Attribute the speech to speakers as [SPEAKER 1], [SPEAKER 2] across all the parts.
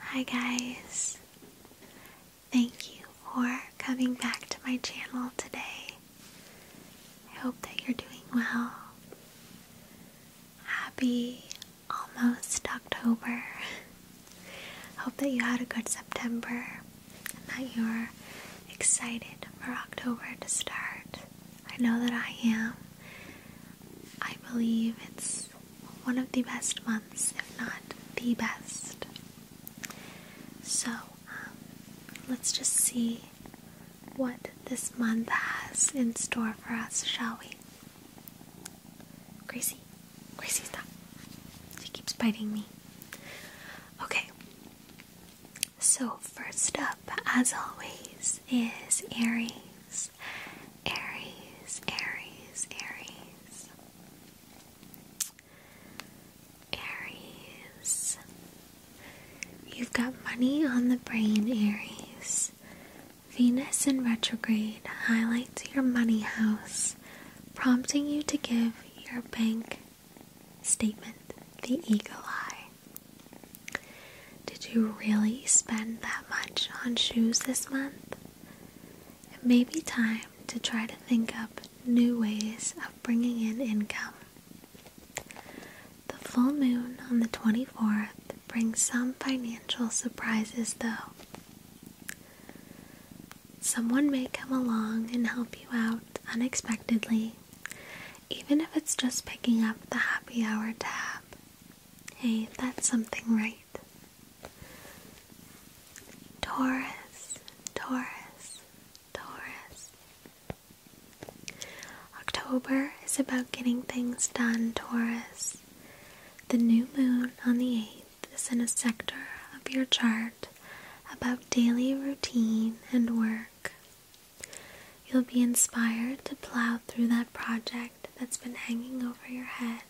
[SPEAKER 1] Hi guys. Thank you for coming back to my channel today. I hope that you're doing well. Happy almost October. Hope that you had a good September and that you're excited for October to start. I know that I am. I believe it's one of the best months, if not the best. So, um, let's just see what this month has in store for us, shall we? Gracie. Gracie's dog. She keeps biting me. Okay. So, first up, as always, is Aries. Aries, Aries, Aries. Aries. You've got money on the brain, Aries. Venus in retrograde highlights your money house prompting you to give your bank statement the eagle eye. Did you really spend that much on shoes this month? It may be time to try to think up new ways of bringing in income. The full moon on the 24th brings some financial surprises, though someone may come along and help you out unexpectedly, even if it's just picking up the happy hour tab. Hey, that's something, right? Taurus, Taurus, Taurus. October is about getting things done, Taurus. The new moon on the 8th this in a sector of your chart about daily routine and work. You'll be inspired to plow through that project that's been hanging over your head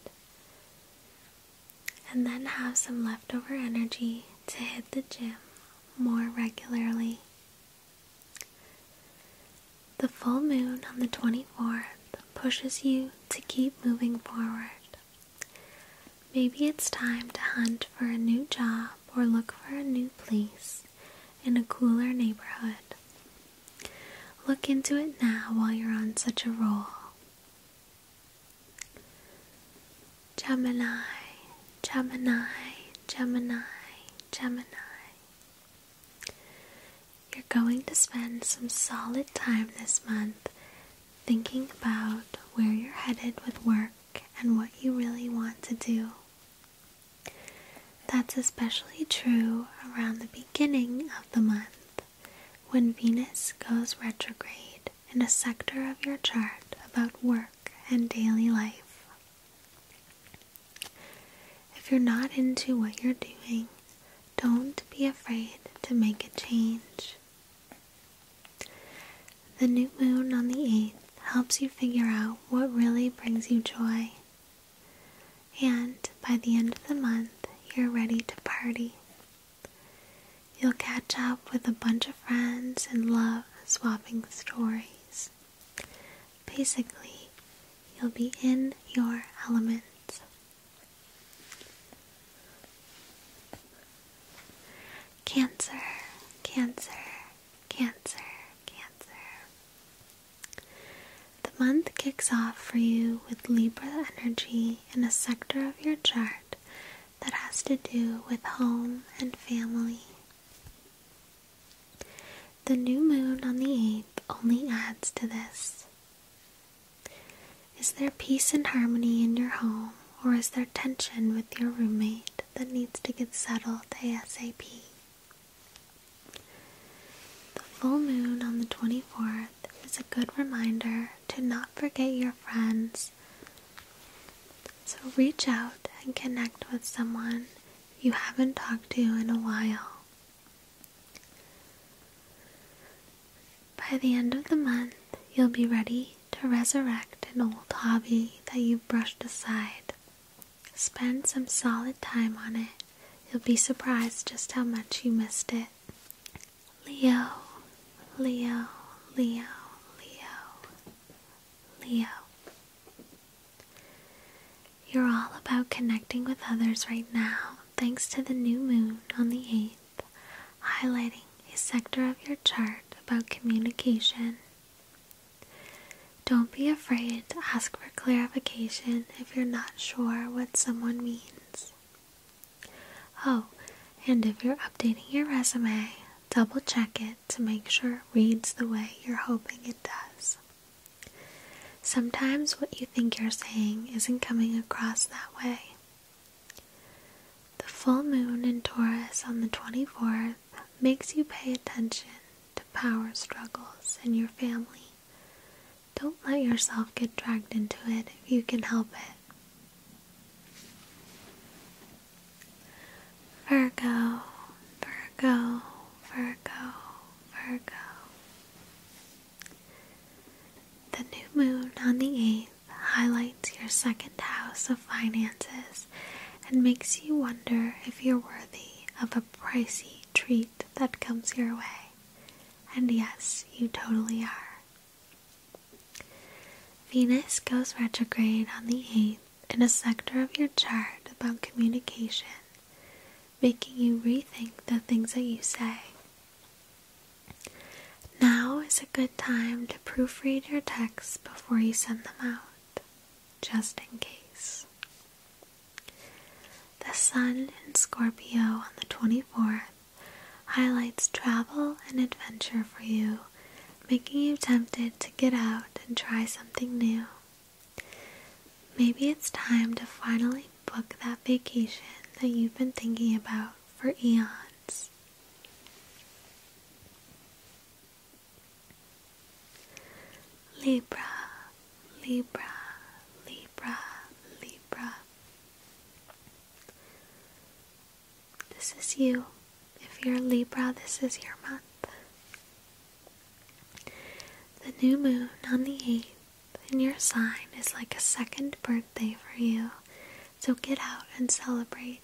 [SPEAKER 1] and then have some leftover energy to hit the gym more regularly. The full moon on the 24th pushes you to keep moving forward. Maybe it's time to hunt for a new job or look for a new place in a cooler neighborhood. Look into it now while you're on such a roll. Gemini, Gemini, Gemini, Gemini. You're going to spend some solid time this month thinking about where you're headed with work and what you really want to do. That's especially true around the beginning of the month when Venus goes retrograde in a sector of your chart about work and daily life. If you're not into what you're doing, don't be afraid to make a change. The new moon on the 8th helps you figure out what really brings you joy. And by the end of the month, you're ready to party. You'll catch up with a bunch of friends and love swapping stories. Basically, you'll be in your element. Cancer, Cancer, Cancer, Cancer. The month kicks off for you with Libra energy in a sector of your chart that has to do with home and family. The new moon on the 8th only adds to this. Is there peace and harmony in your home, or is there tension with your roommate that needs to get settled ASAP? The full moon on the 24th is a good reminder to not forget your friends. So reach out and connect with someone you haven't talked to in a while. By the end of the month, you'll be ready to resurrect an old hobby that you brushed aside. Spend some solid time on it. You'll be surprised just how much you missed it. Leo, Leo, Leo, Leo, Leo. You're all about connecting with others right now, thanks to the new moon on the 8th highlighting a sector of your chart about communication. Don't be afraid to ask for clarification if you're not sure what someone means. Oh, and if you're updating your resume, double check it to make sure it reads the way you're hoping it does. Sometimes what you think you're saying isn't coming across that way, the full moon in Taurus on the 24th makes you pay attention to power struggles in your family. Don't let yourself get dragged into it if you can help it. Virgo, Virgo, Virgo, Virgo. The new moon on the 8th highlights your second house of finances and makes you wonder if you're worthy of a pricey treat that comes your way. And yes, you totally are. Venus goes retrograde on the 8th in a sector of your chart about communication, making you rethink the things that you say now is a good time to proofread your texts before you send them out, just in case. The Sun in Scorpio on the 24th highlights travel and adventure for you, making you tempted to get out and try something new. Maybe it's time to finally book that vacation that you've been thinking about for eons. Libra, Libra, Libra, Libra. This is you. If you're Libra, this is your month. The new moon on the 8th and your sign is like a second birthday for you, so get out and celebrate.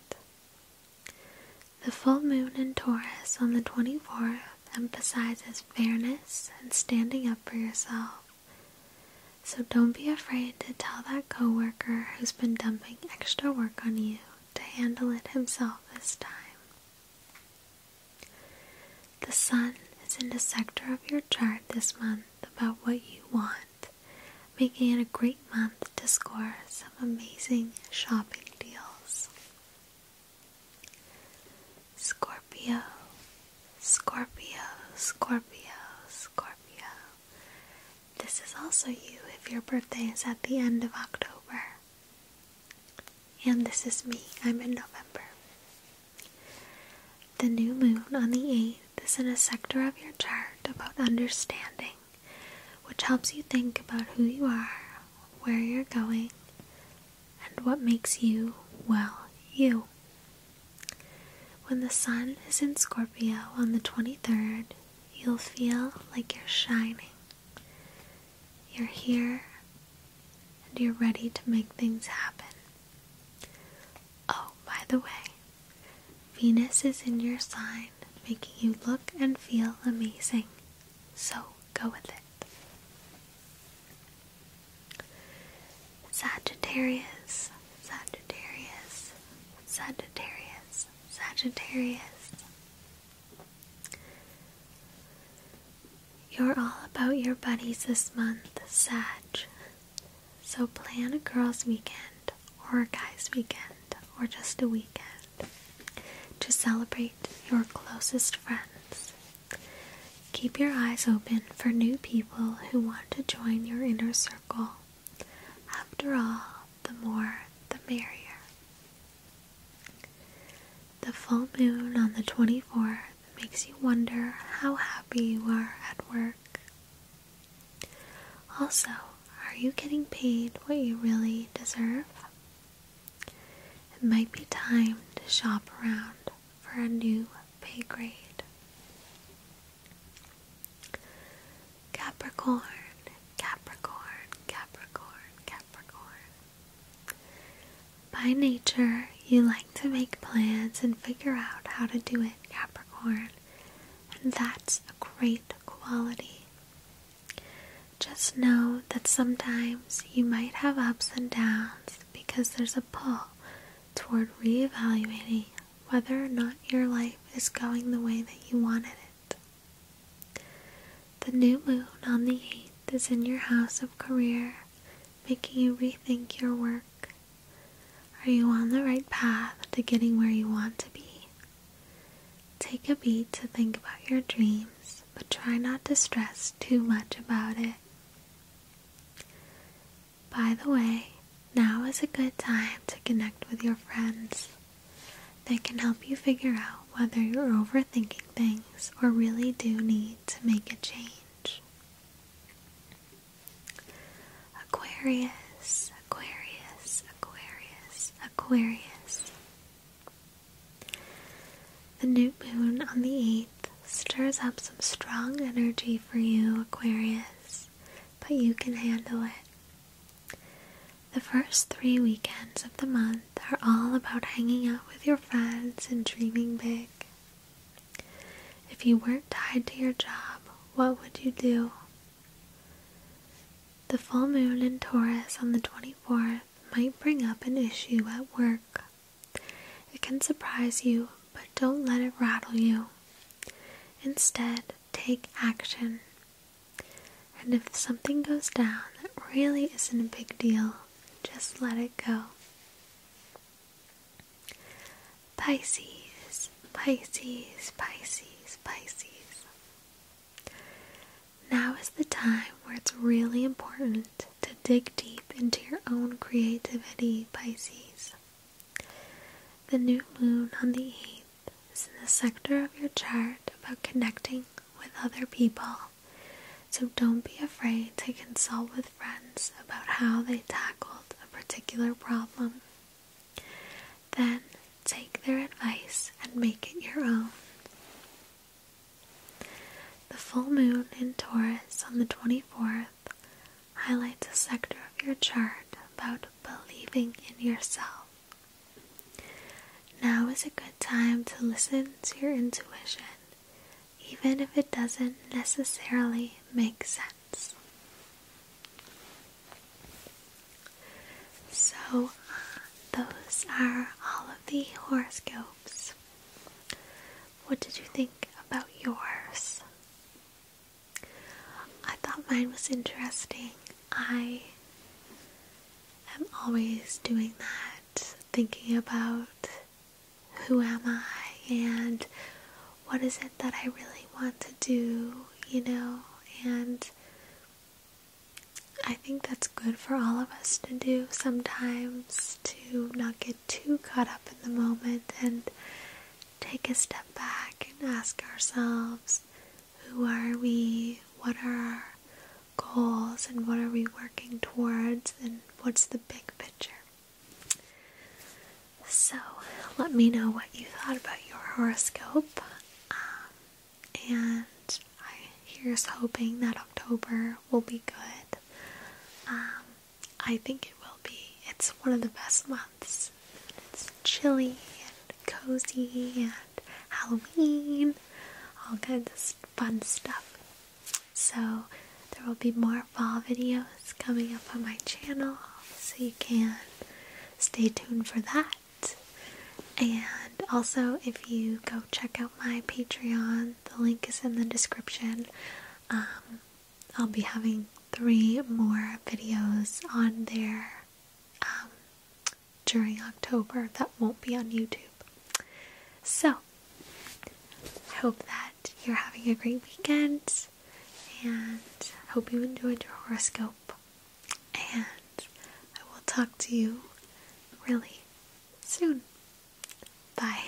[SPEAKER 1] The full moon in Taurus on the 24th emphasizes fairness and standing up for yourself. So don't be afraid to tell that co-worker who's been dumping extra work on you to handle it himself this time. The sun is in the sector of your chart this month about what you want, making it a great month to score some amazing shopping deals. Scorpio, Scorpio, Scorpio, Scorpio. This is also you if your birthday is at the end of October. And this is me, I'm in November. The new moon on the 8th is in a sector of your chart about understanding, which helps you think about who you are, where you're going, and what makes you, well, you. When the sun is in Scorpio on the 23rd, you'll feel like you're shining. You're here and you're ready to make things happen. Oh, by the way, Venus is in your sign, making you look and feel amazing. So go with it. Sagittarius, Sagittarius, Sagittarius, Sagittarius. You're all about your buddies this month, Sag. So plan a girls' weekend or a guys' weekend or just a weekend to celebrate your closest friends. Keep your eyes open for new people who want to join your inner circle. After all, the more the merrier. The full moon on the 24th it makes you wonder how happy you are at work. Also, are you getting paid what you really deserve? It might be time to shop around for a new pay grade. Capricorn, Capricorn, Capricorn, Capricorn. By nature, you like to make plans and figure out how to do it, Capricorn, and that's a great quality. Just know that sometimes you might have ups and downs because there's a pull toward reevaluating whether or not your life is going the way that you wanted it. The new moon on the 8th is in your house of career, making you rethink your work. Are you on the right path to getting where you want to be? Take a beat to think about your dreams, but try not to stress too much about it. By the way, now is a good time to connect with your friends. They can help you figure out whether you're overthinking things or really do need to make a change. Aquarius, Aquarius, Aquarius, Aquarius. The new moon on the 8th stirs up some strong energy for you, Aquarius, but you can handle it. The first three weekends of the month are all about hanging out with your friends and dreaming big. If you weren't tied to your job, what would you do? The full moon in Taurus on the 24th might bring up an issue at work. It can surprise you, but don't let it rattle you. Instead, take action. And if something goes down that really isn't a big deal, just let it go. Pisces, Pisces, Pisces, Pisces. Now is the time where it's really important to dig deep into your own creativity, Pisces. The new moon on the 8th is in the sector of your chart about connecting with other people so don't be afraid to consult with friends about how they tackled a particular problem. Then take their advice and make it your own. The full moon in Taurus on the 24th highlights a sector of your chart about believing in yourself. Now is a good time to listen to your intuition even if it doesn't necessarily make sense. So, those are all of the horoscopes. What did you think about yours? I thought mine was interesting. I am always doing that, thinking about who am I and what is it that I really want to do, you know? And I think that's good for all of us to do sometimes to not get too caught up in the moment and take a step back and ask ourselves who are we? What are our goals and what are we working towards and what's the big picture? So, let me know what you thought about your horoscope. Um, and I here's hoping that October will be good. Um, I think it will be. It's one of the best months. It's chilly and cozy and Halloween, all kinds of fun stuff. So there will be more fall videos coming up on my channel, so you can stay tuned for that. And also, if you go check out my Patreon, the link is in the description. Um, I'll be having three more videos on there um, during October that won't be on YouTube. So, I hope that you're having a great weekend and I hope you enjoyed your horoscope. And I will talk to you really soon. Bye.